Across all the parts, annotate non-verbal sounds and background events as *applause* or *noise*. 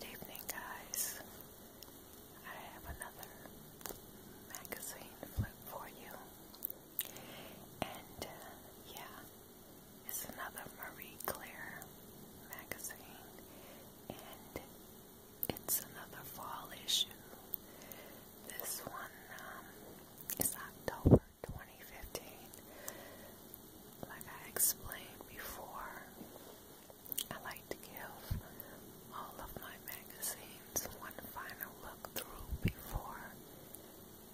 evening, guys. I have another magazine flip for you. And uh, yeah, it's another Marie Claire magazine. And it's another fall issue. This one um, is October 2015. Like I explained before, I like to give all of my magazines one final look through before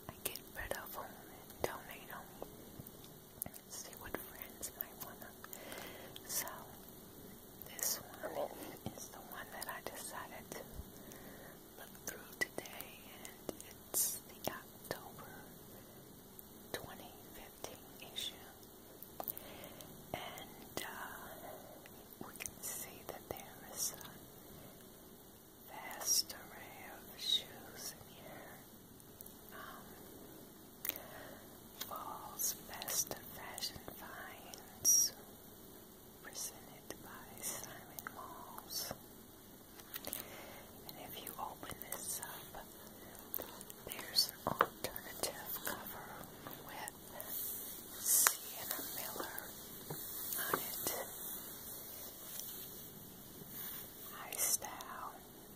I get rid of them and donate them. See what friends might want them. So, this one is the one that I decided to look through today, and it's the October 2015 issue, and uh, we can see that there is a vast array of shoes in here. Um, best fashion finds, presented by Simon Malls. And if you open this up, there's an alternative cover with Sienna Miller on it. High style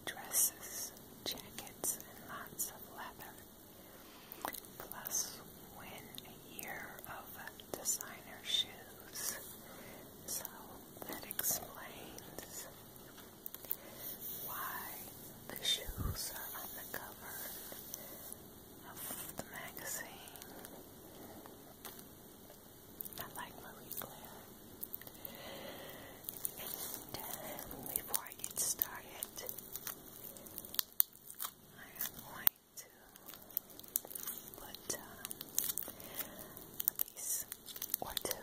dresses, jackets, and lots of leather. Plus, win a year of designer shoes. So that explains why the shoes are on the cover of the magazine. I like Marie Claire. And before I get started, I am going to put um, or two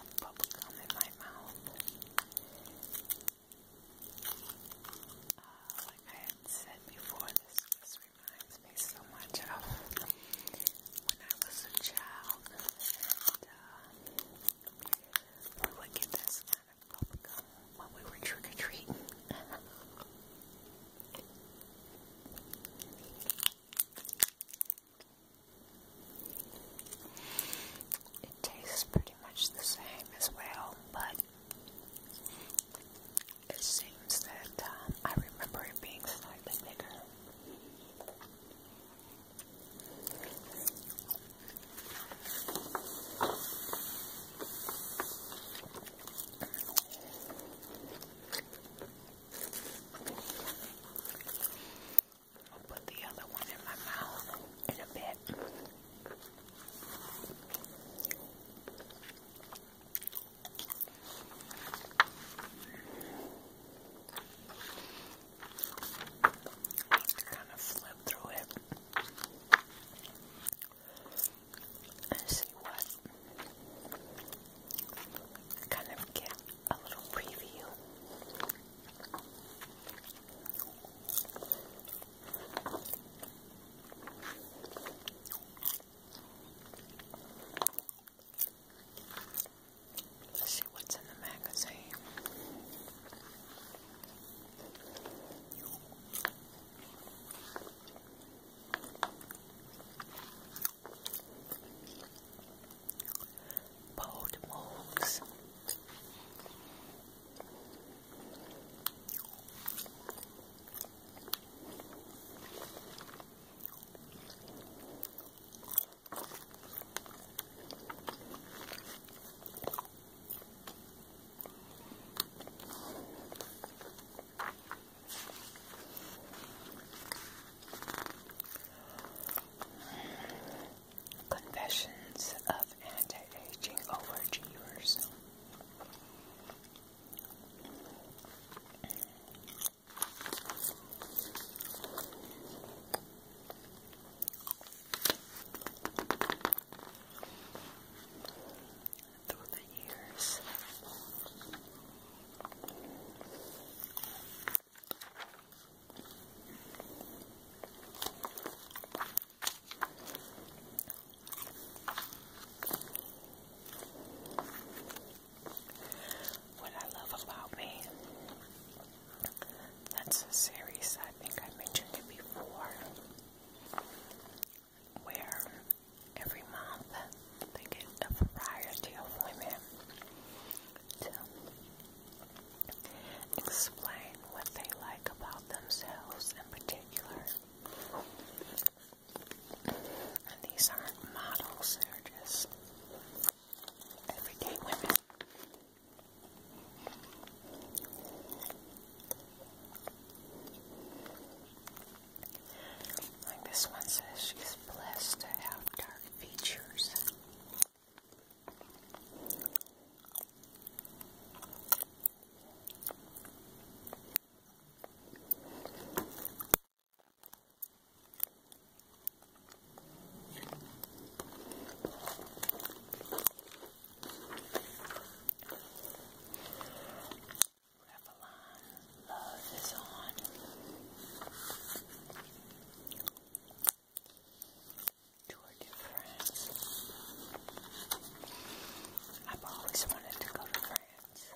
of bubblegum in my mouth. Uh, like I said before, this just reminds me so much of when I was a child. we would get this kind of bubblegum when we were trick or treating. *laughs* It tastes pretty much the same as well, but it seems that um, I remember it being slightly bigger. I'll put the other one in my mouth in a bit. kind of flip through it and see what kind of get a little see what's in the magazine bold moves. Confessions of Anti-Aging Overachievers. Through the years, what I love about me, that's a series I think I mentioned it before, where every month they get a variety of women to explain what they like about themselves in particular. And these aren't models, they're just everyday women. Like this one says, she's blessed to have dark features. Love is on. Tour de France. I've always wanted to go to France. So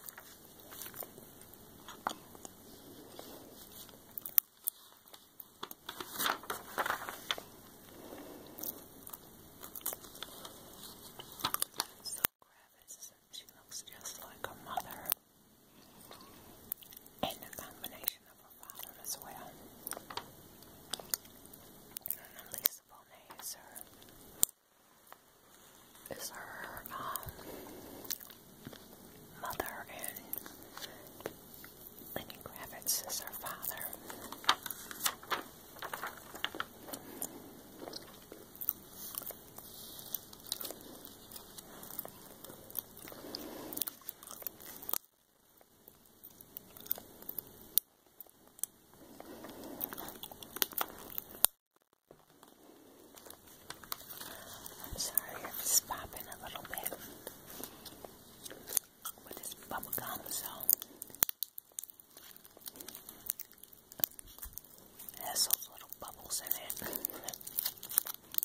Gravis, she looks just like her mother. And the combination Lisa Bonet is her, um, mother, and Lenny Kravitz is her father. I'm sorry if it's popping a little bit with this bubble gum, so it has those little bubbles in it. *laughs*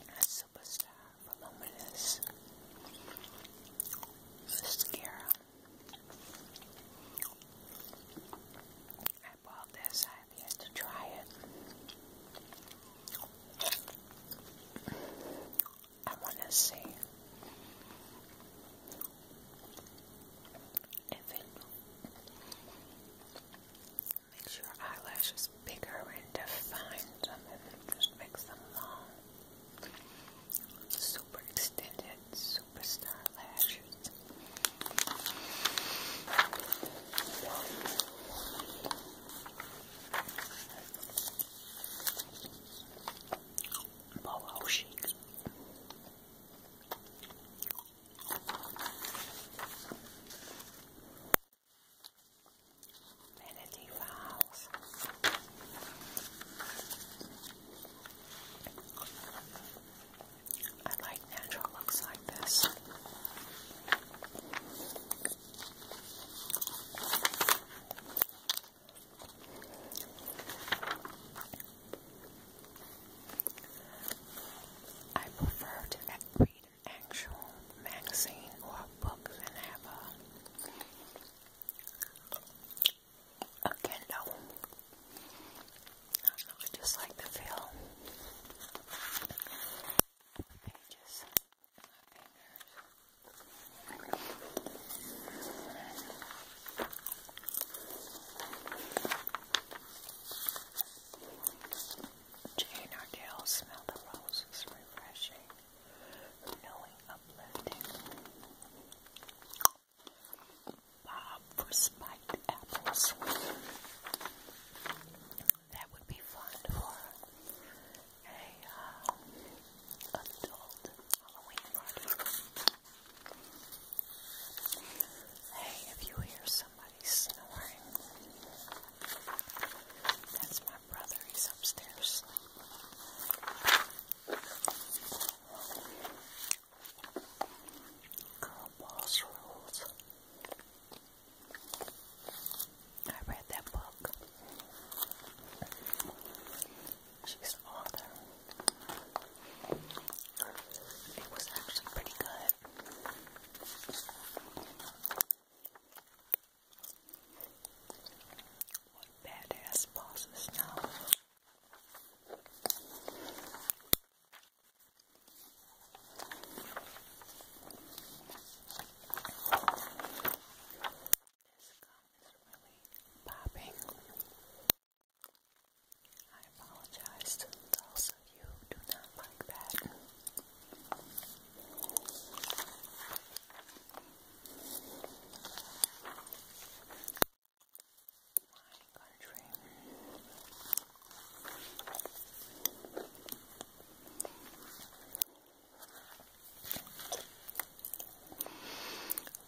a superstar for luminous mascara. I bought this. I have yet to try it. I want to see if it Makes your eyelashes bigger and defined. Some of just make them um, long. Super extended, superstar lashes. Boho chic. I like natural looks like this. I prefer to read actual magazine or books and have a, a I just like the feel Jane Ardell smell the roses refreshing, knowing uplifting. Bob for spiked apples. That would be fun for a uh, adult Halloween party. Hey, if you hear some somebody snoring. That's my brother. He's upstairs sleeping. Girl I read that book. She's an It was actually pretty good. What badass pauses now. This gum is really popping. I apologize to you do not like that. My country.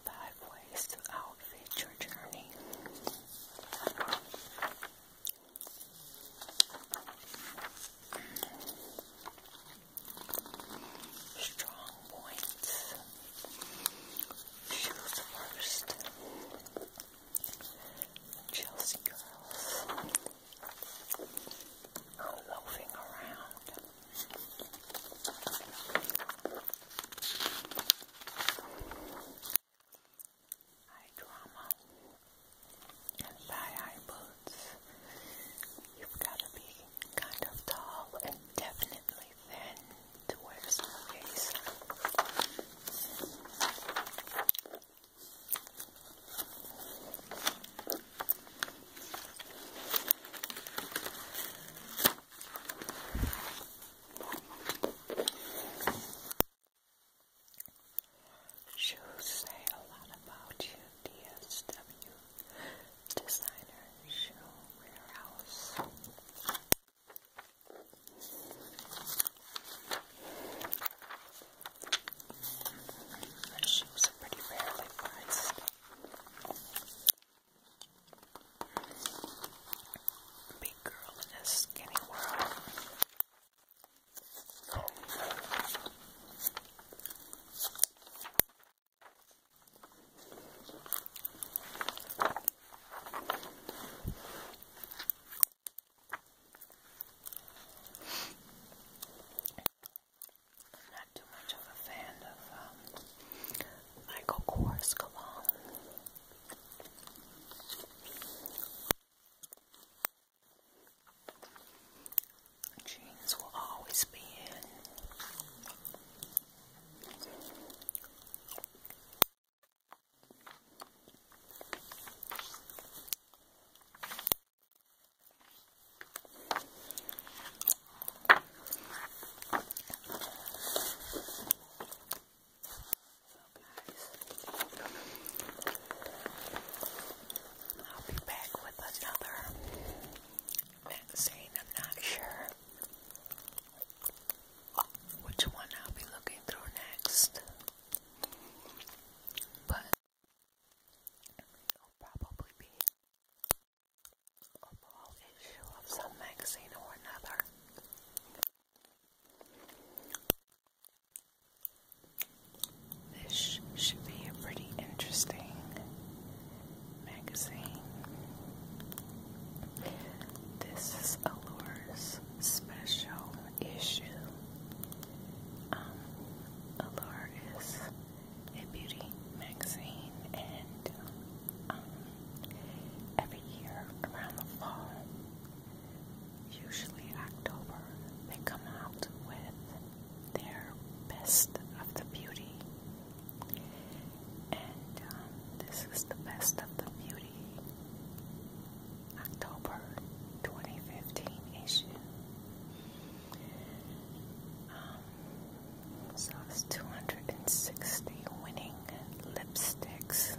Five ways to outfit your journey. Strong points. She was the first. Chelsea girls are loafing around eye drama and thigh high boots. You've got to be kind of tall and definitely thin to wear smoothies. Shoes say a lot about you, DSW Designer Shoe Warehouse. Shoes are pretty rarely priced. Big girl in a skinny world. I'm not too much of a fan of um, Michael Kors cologne. Jeans will always be in. I'll be back with another magazine. I'm not sure which one I'll be looking through next, but it'll probably be a whole issue of some magazine or another. This should be a pretty interesting magazine. This is Allure's special issue. Um, Allure is a beauty magazine, and um, every year around the fall, usually October, they come out with their best of the beauty. And um, this is the best of the beauty October 2015 issue. Um, so it's 260 winning lipsticks,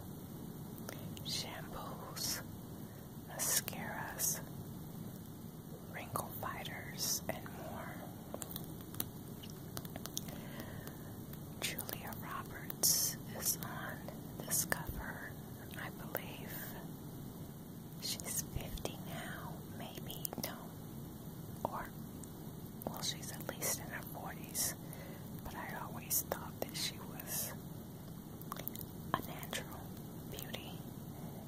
shampoos, mascaras, wrinkle fighters, and more. Julia Roberts is on this cover, I believe. She's 50 now, maybe, no. Or, well, she's at least in her 40s, but I always thought that she was a natural beauty,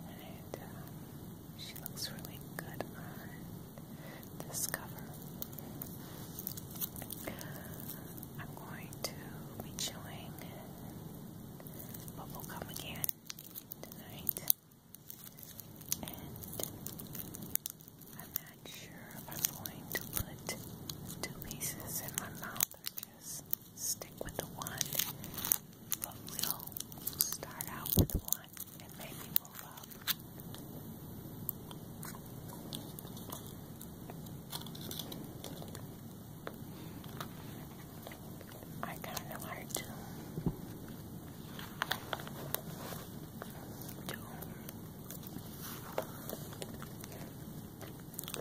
and uh, she looks really good on this cover. I'm going to be chewing bubblegum again tonight, and I'm not sure I'm going to put two pieces in my mouth just stick with the one, but we'll start out with one and maybe move up. I kind of know how to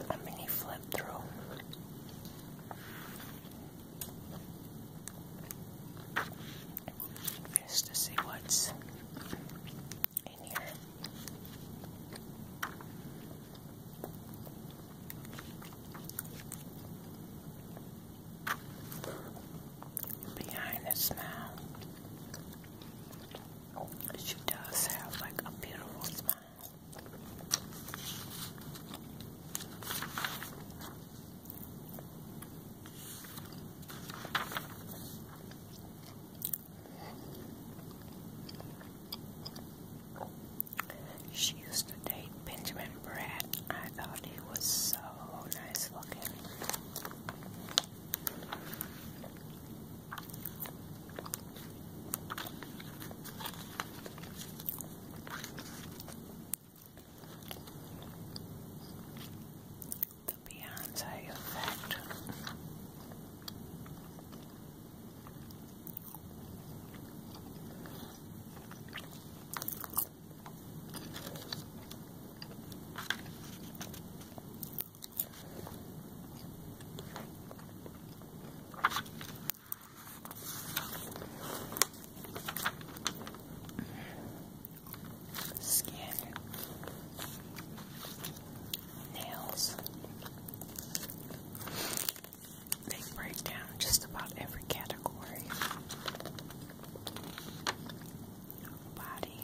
a mini flip through. Just to see what's in here. Behind the smile, she does have like a beautiful smile. She used to date Benjamin Brad. I thought he was so nice looking. The Beyonce effect. Skin, nails. They break down just about every category. Body.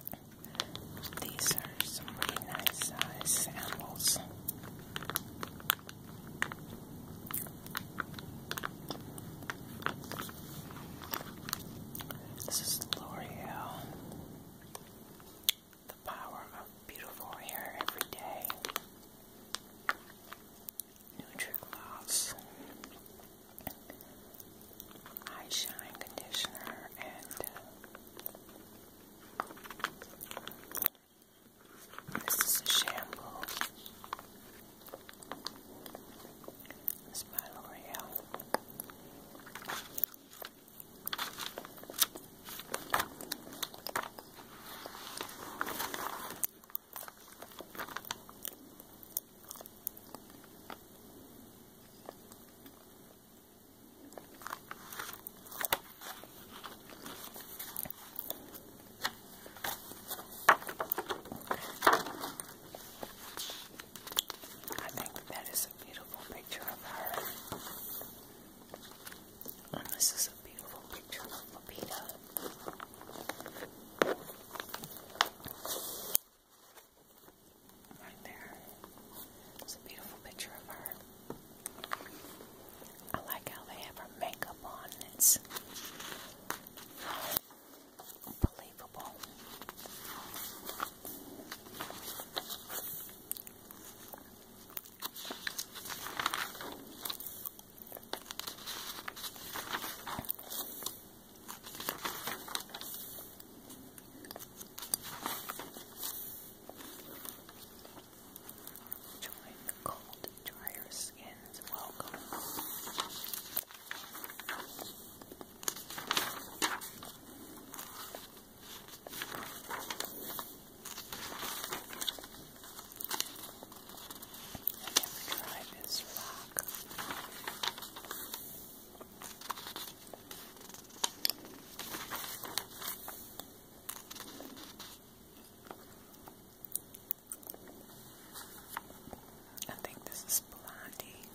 These are some really nice size samples. This is L'Oreal. The power of beautiful hair every day. Nutri-Gloss. Shine Conditioner and this is a shampoo. This is by L'Oreal. I think that is a beautiful picture of her. And this is a beautiful picture of Lupita. Right there. It's a beautiful picture of her. I like how they have her makeup on. It's unbelievable. Join the cold, drier skins welcome. I never tried this rock. I think this is Blondie.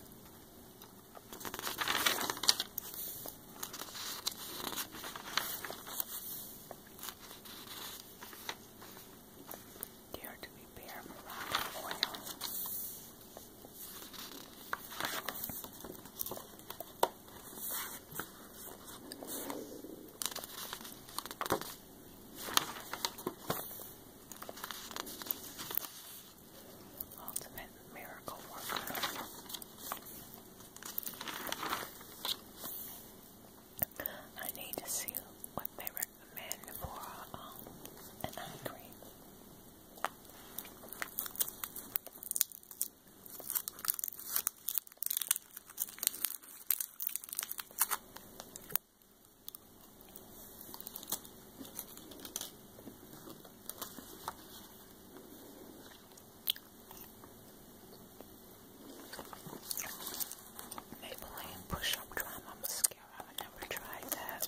Dare to be bare Ultimate miracle worker. I need to see what they recommend for um, an eye Maybelline Push Up Drama Mascara. I've never tried that.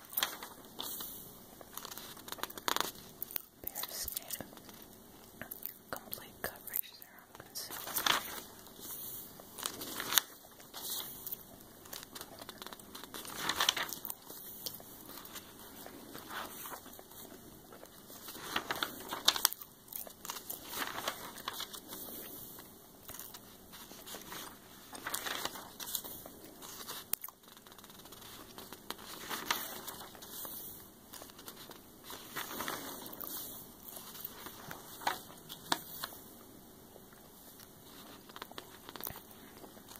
Bare skin. Complete coverage serum concealer.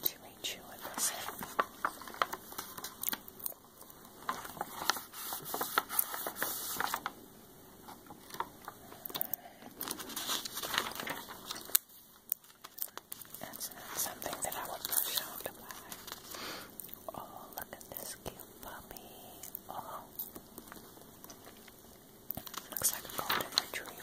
Chewy, chew it, that's it. That's not something that I would brush off the eye. Oh, look at this cute puppy. Oh. Looks like a golden retriever.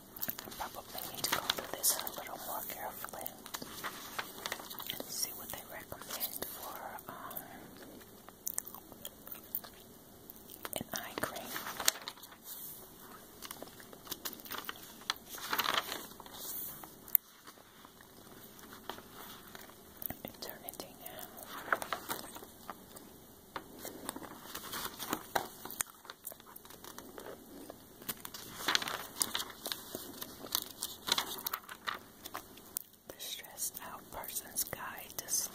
I probably need to go through this a little more carefully and see what they recommend for um, an eye cream. Eternity now. The Stressed Out Person's Guide to Sleep.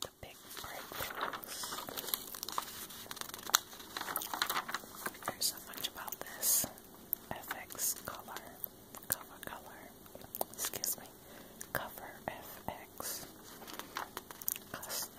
The big breakthroughs. There's so much about this FX color, cover color, excuse me, cover FX custom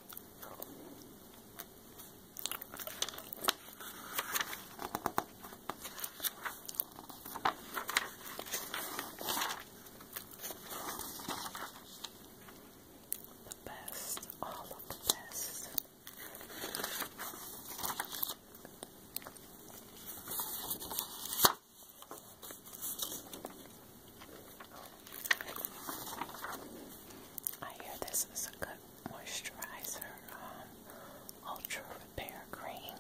The best, all of the best. I hear this is a good moisturizer, um, Ultra Repair Cream.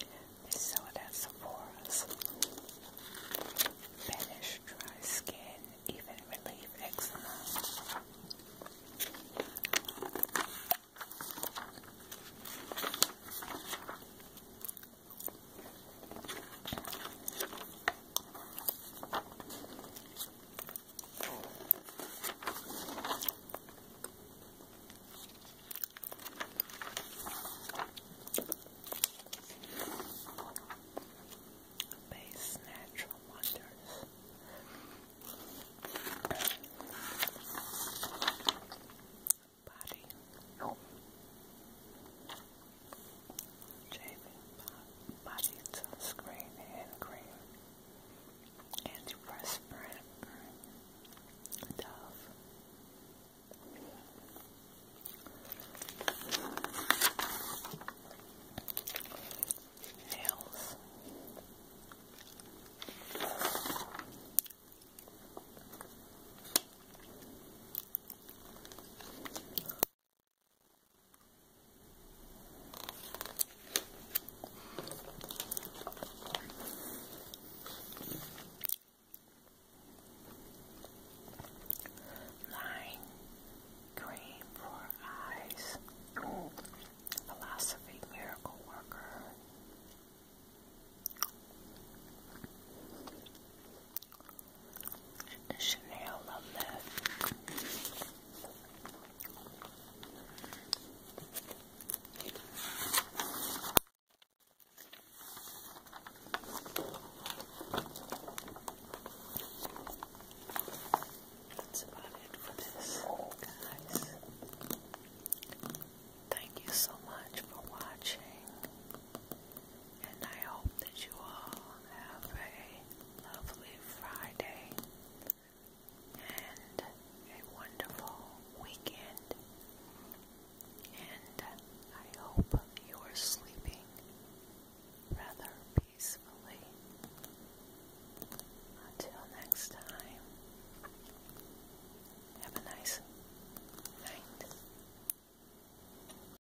They sell it at Sephora's. Banish dry skin, even relieve eczema. Base Natural Wonders. Body. Oh. Shaving body sunscreen and cream, Dove. Nails. Nine cream for eyes. Philosophy miracle worker. Chanel, love that. That's about it for this, guys. Thank you so much for watching and I hope that you all have a lovely Friday and a wonderful weekend. And I hope you are sleeping rather peacefully. Until next time, have a nice night.